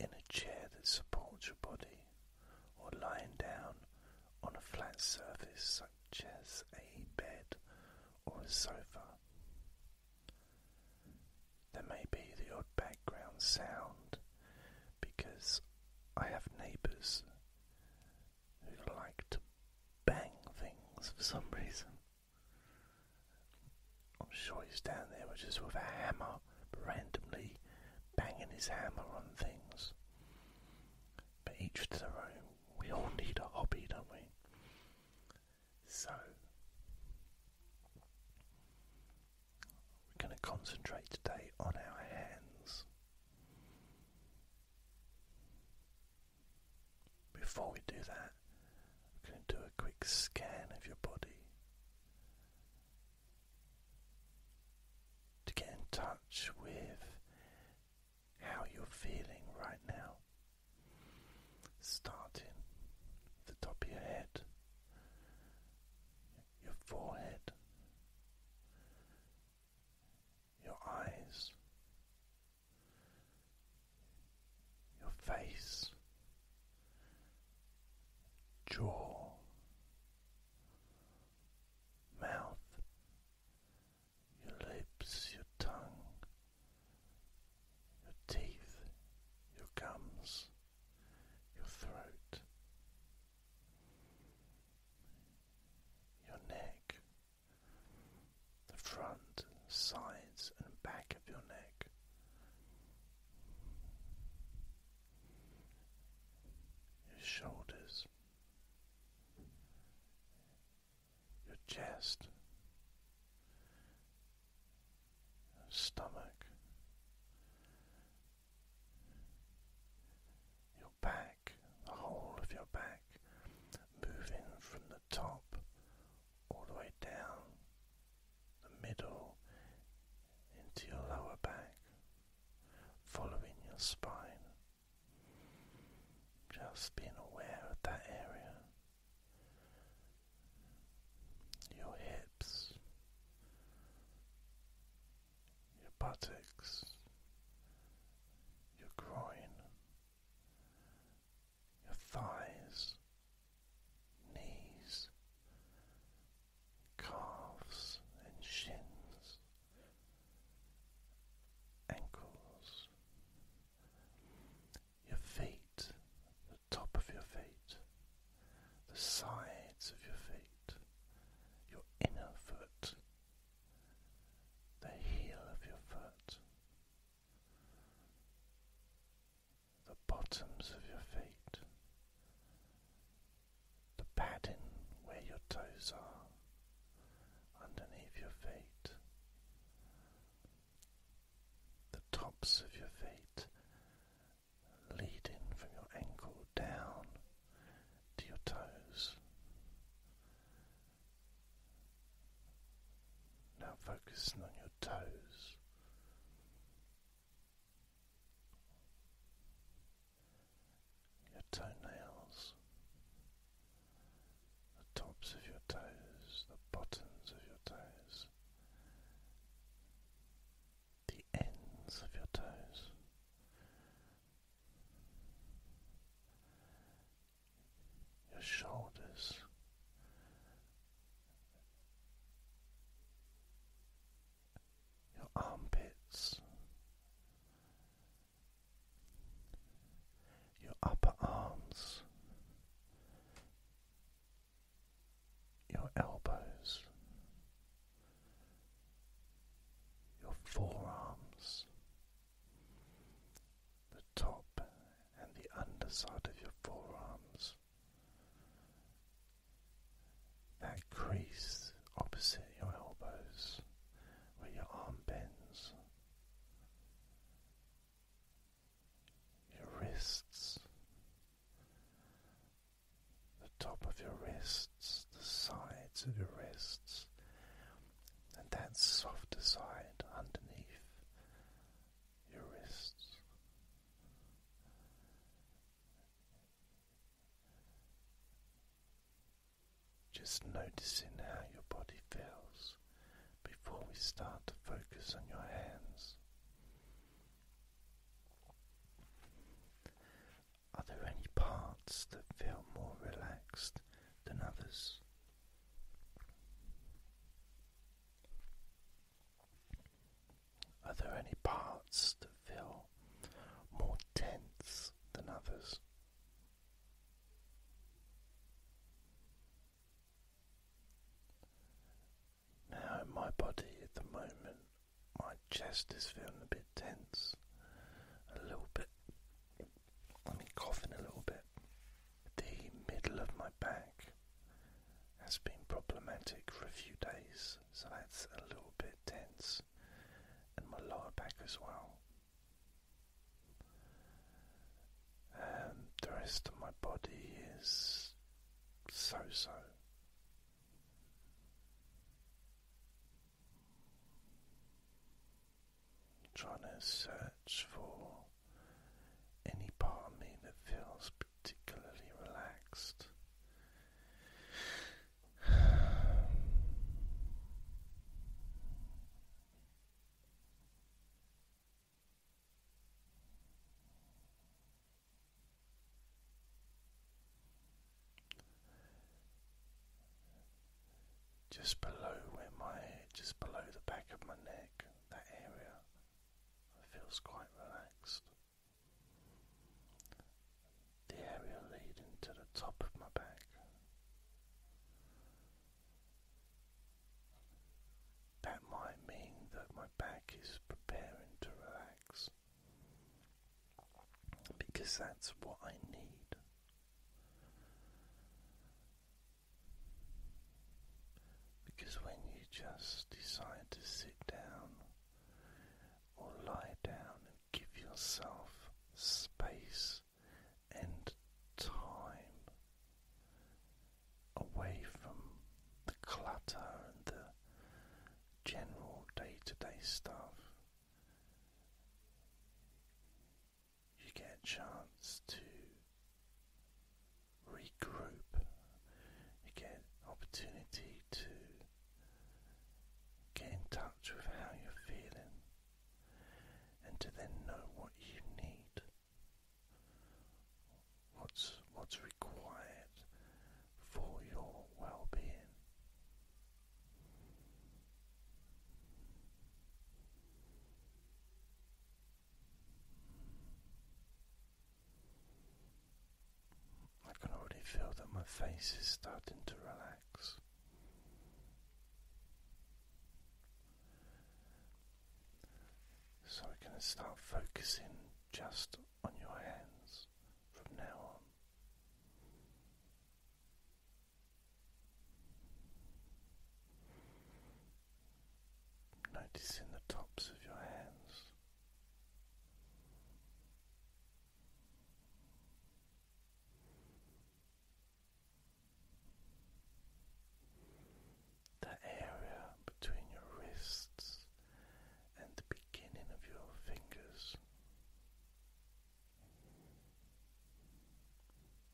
in a chair that supports your body, or lying down on a flat surface such as a bed or a sofa. There may be the odd background sound because I have neighbours who like to bang things for some reason. I'm sure he's down there with just with a hammer, randomly banging his hammer on things. But each to their own. We all need a hobby, don't we? So, we're going to concentrate today on our hands. Before we do that, we're going to do a quick scan of your body to get in touch with how you're feeling right now. Starting at the top of your head, your forehead, your eyes, your face, jaw, mouth, your lips, your tongue, your teeth, your gums, your throat, your neck, the front, sides, and back of your neck your shoulders, your chest, your stomach, your back, the whole of your back, moving from the top all the way down the middle into your lower back, following your spine. Just being aware of that area. Your hips, your buttocks, your groin, your thighs, knees, calves and shins, ankles, your feet, the top of your feet, the sides of your feet, your inner foot, the heel of your foot the bottoms of your feet, the padding where your toes are underneath your feet, the tops of your feet leading from your ankle down to your toes. Now focusing on your toes your toenails, the tops of your toes, the bottoms of your toes, the ends of your toes. Your shoulders, your armpits, your upper arms, your elbows, your forearms, the top and the underside of your forearms that crease opposite your elbows where your arm bends, your wrists, the top of your wrists, the sides of your wrists, and that softer side underneath your wrists. Just noticing how your body feels before we start to focus on your hands. Are there any parts that feel more relaxed than others? Are there any parts that feel more tense than others? Now, in my body at the moment, my chest is feeling a bit tense, a little bit. I mean, coughing a little bit the middle of my back has been problematic for a few days, so that's a little bit tense, and my lower back as well. Um, the rest of my body is so so. Trying to search for any part of me that feels particularly relaxed. Just below where my just below the back of my neck, that area, it feels quite relaxed. The area leading to the top of my back. That might mean that my back is preparing to relax because that's what I need. Because when you just decide to sit down or lie down and give yourself space and time away from the clutter and the general day to day stuff, you get a chance to regroup. You get opportunity to get in touch with how you're feeling and to then know what you need. What's what's required for your well-being? I can already feel that my face is starting to relax. So we're going to start focusing just on your hands from now on. Noticing the tops of your hands. The area between your wrists and the beginning of your fingers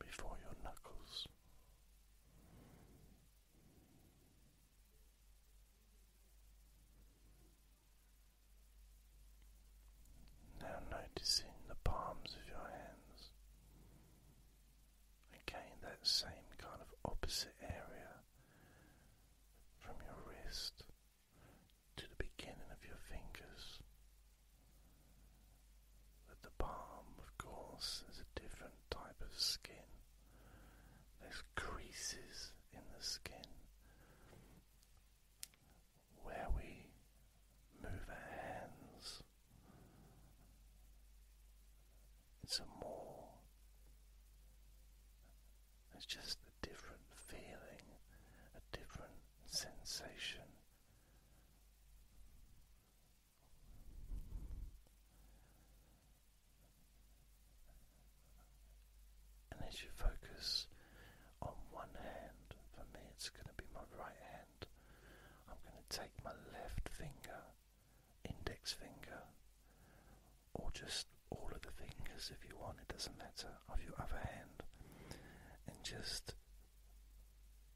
before your knuckles. Now noticing the palms of your hands. Again, that same kind of opposite area from your wrist to the beginning of your fingers. With the palm, of course, is a different type of skin. There's creases in the skin. Where we move our hands, it's a more, it's just a different feeling, a different sensation. And as you focus on one hand, for me it's going to be my right hand, I'm going to take my left finger, index finger, or just all of the fingers if you want, it doesn't matter, of your other hand, and just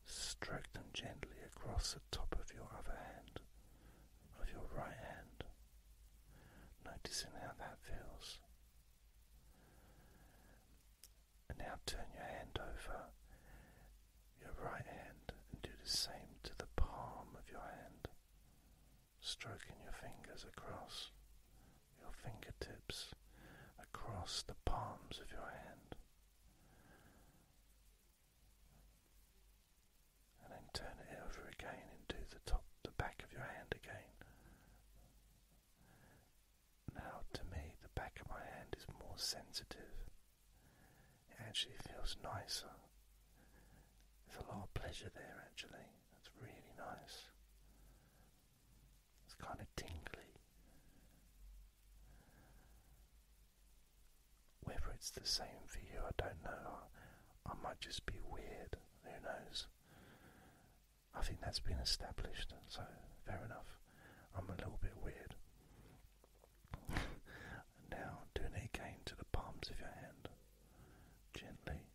Stroke them gently across the top of your other hand, of your right hand, noticing how that feels. And now turn your hand over your right hand and do the same to the palm of your hand, stroking your fingers across your fingertips across the palms of your hand. And then turn it over again and do the top, the back of your hand again. Now, to me, the back of my hand is more sensitive. It actually feels nicer. There's a lot of pleasure there, actually. That's really nice. It's kind of tingly. Whether it's the same for you, I don't know. I, might just be weird, who knows? I think that's been established, so fair enough. I'm a little bit weird. now, doing it again to the palms of your hand, gently.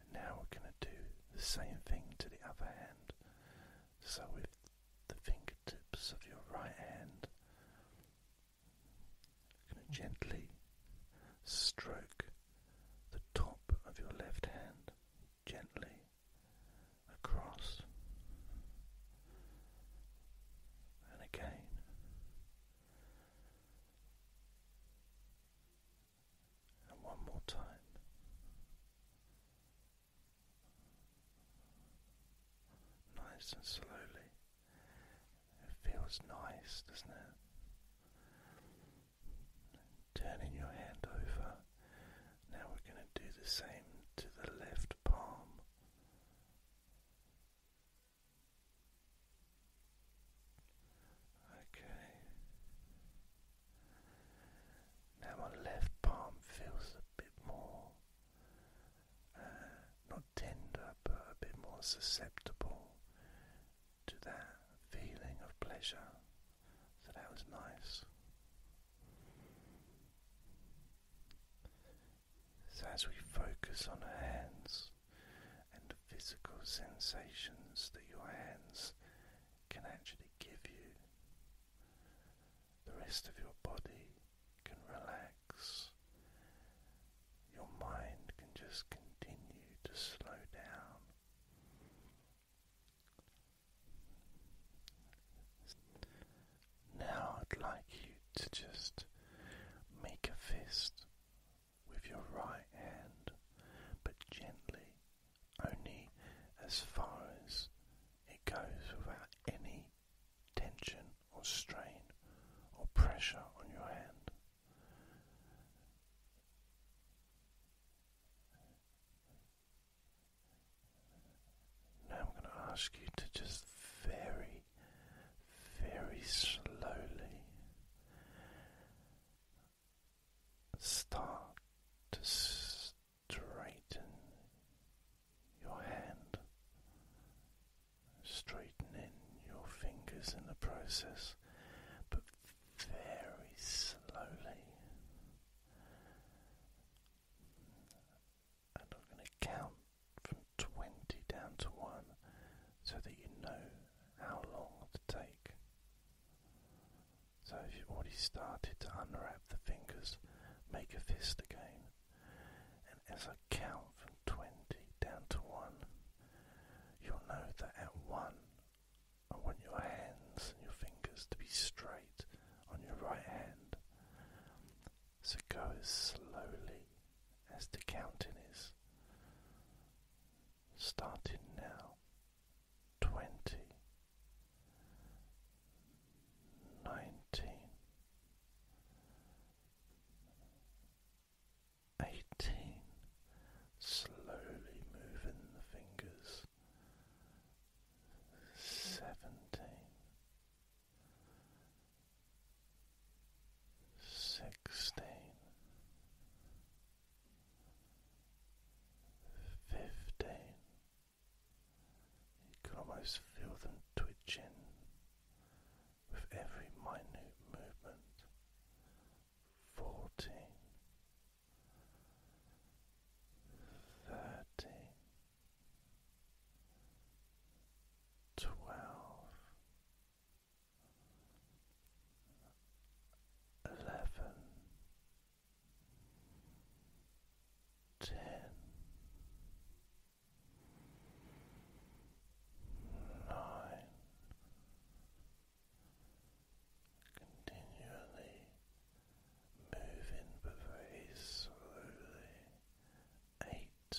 And now we're going to do the same thing to the other hand. So, with the fingertips of your right hand, you're going to gently stroke the top of your left hand gently across and again. And one more time. Nice and slowly. It feels nice, doesn't it? Turning your hand over. Now we're going to do the same to the left palm. Okay. Now my left palm feels a bit more uh, not tender but a bit more susceptible to that feeling of pleasure. So that was nice. So as we focus on our hands, and the physical sensations that your hands can actually give you. The rest of your body can relax. Your mind can just continue to slow down. Now I'd like you to just make a fist with your right hand, but gently, only as far as it goes without any tension or strain or pressure on your hand. Now I'm going to ask you to just vary very slowly start to straighten your hand, straightening your fingers in the process, but very slowly. And I'm going to count from twenty down to one so that you know how long to take. So if you've already started to unwrap the fingers, make a fist again. And as I count from twenty down to one, you'll know that at one I want your hands and your fingers to be straight on your right hand. So go as slowly as the counting is starting now. Twenty, nineteen, eighteen, slowly moving the fingers. Seventeen sixteen, fifteen. You can almost feel them twitching with every minute movement. Fourteen, thirteen, twelve eleven, ten, nine, continually moving but very slowly, eight.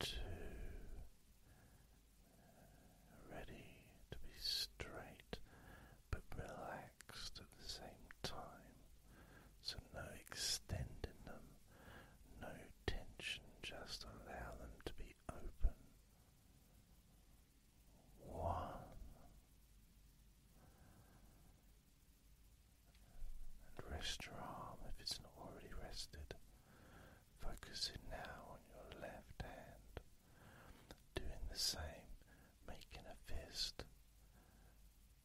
two, ready to be straight but relaxed at the same time. So, no extending them, no tension, just allow them to be open. One and rest your arm if it's not already rested. Focusing now on your left hand, doing the same, making a fist,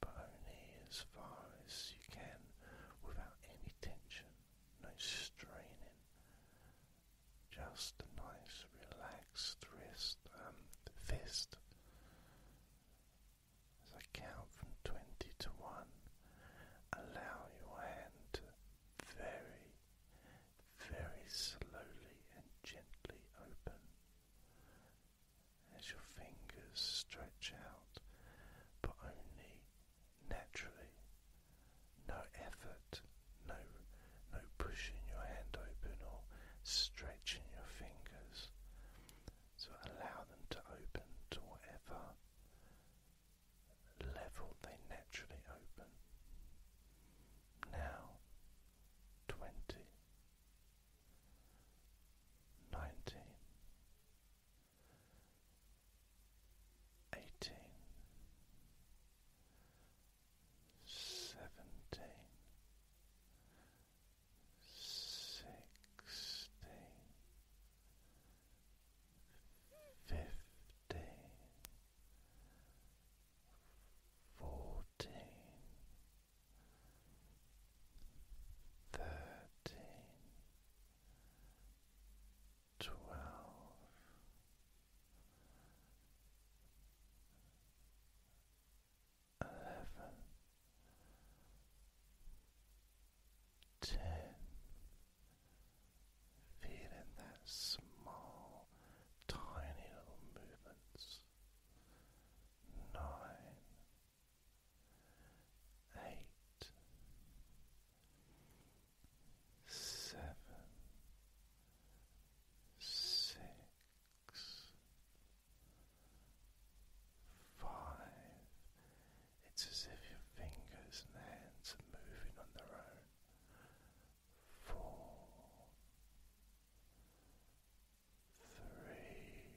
but only as far as you can without any tension, no straining, just a nice relaxed wrist, um, fist. As I count from 20 to 1, allow your hand to very, very slowly and gently open as your fingers stretch out, but only naturally. No effort, no, no pushing your hand open or stretching your fingers. So allow them to open to whatever level they naturally open. Now, twenty, nineteen, eighteen, seventeen sixteen, fifteen, fourteen, thirteen, twelve eleven, ten, feeling that small, tiny little movements, nine, eight, seven, six. Five. It's as if your fingers and hands are moving on their own. Four. Three.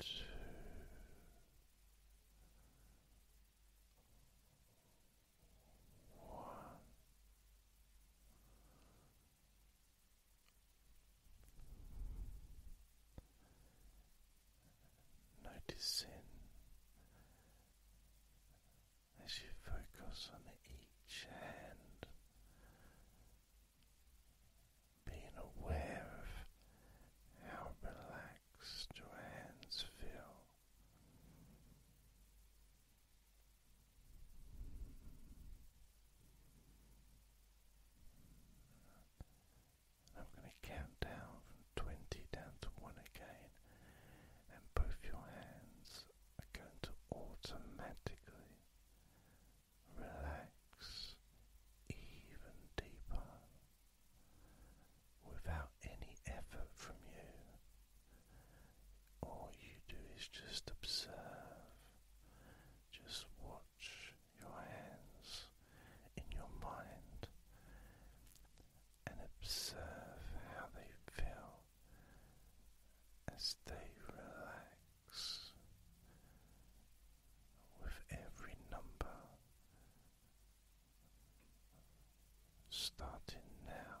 Two. One. Noticing as you focus on each hand, being aware of how relaxed your hands feel. I'm going to count down from 20 down to 1 again, and both your hands are going to automatically relax even deeper without any effort from you all you do is just observe, just watch your hands in your mind and observe how they feel as they relax with every number starting now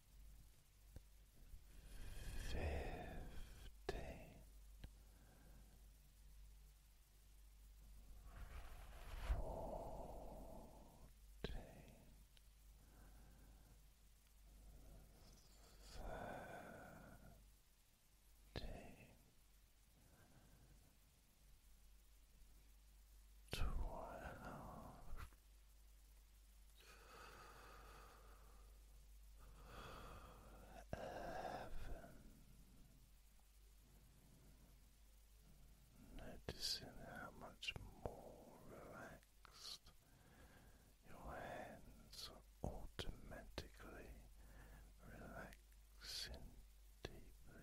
fifteen, fourteen, thirteen, twelve. Noticing how much more relaxed your hands are automatically relaxing deeply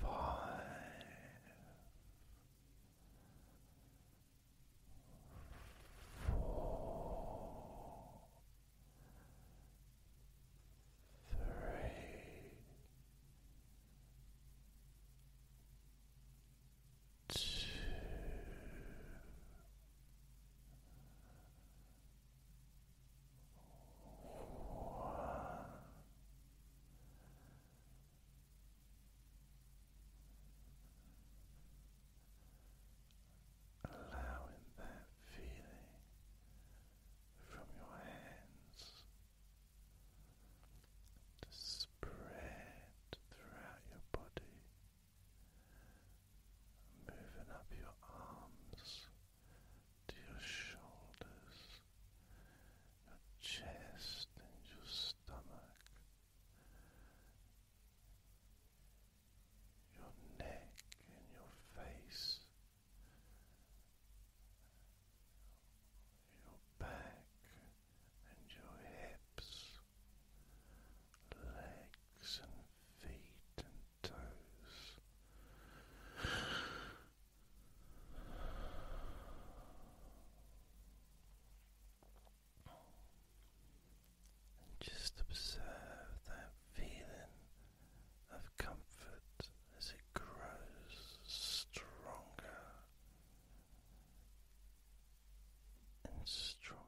five, four, three, two allowing that feeling from your hands to spread throughout your body, moving up your arms to your shoulders, your chest, and your stomach, your neck, and your face, your back, and your hips, legs, and feet and toes. And just observe that feeling of comfort as it grows stronger and stronger.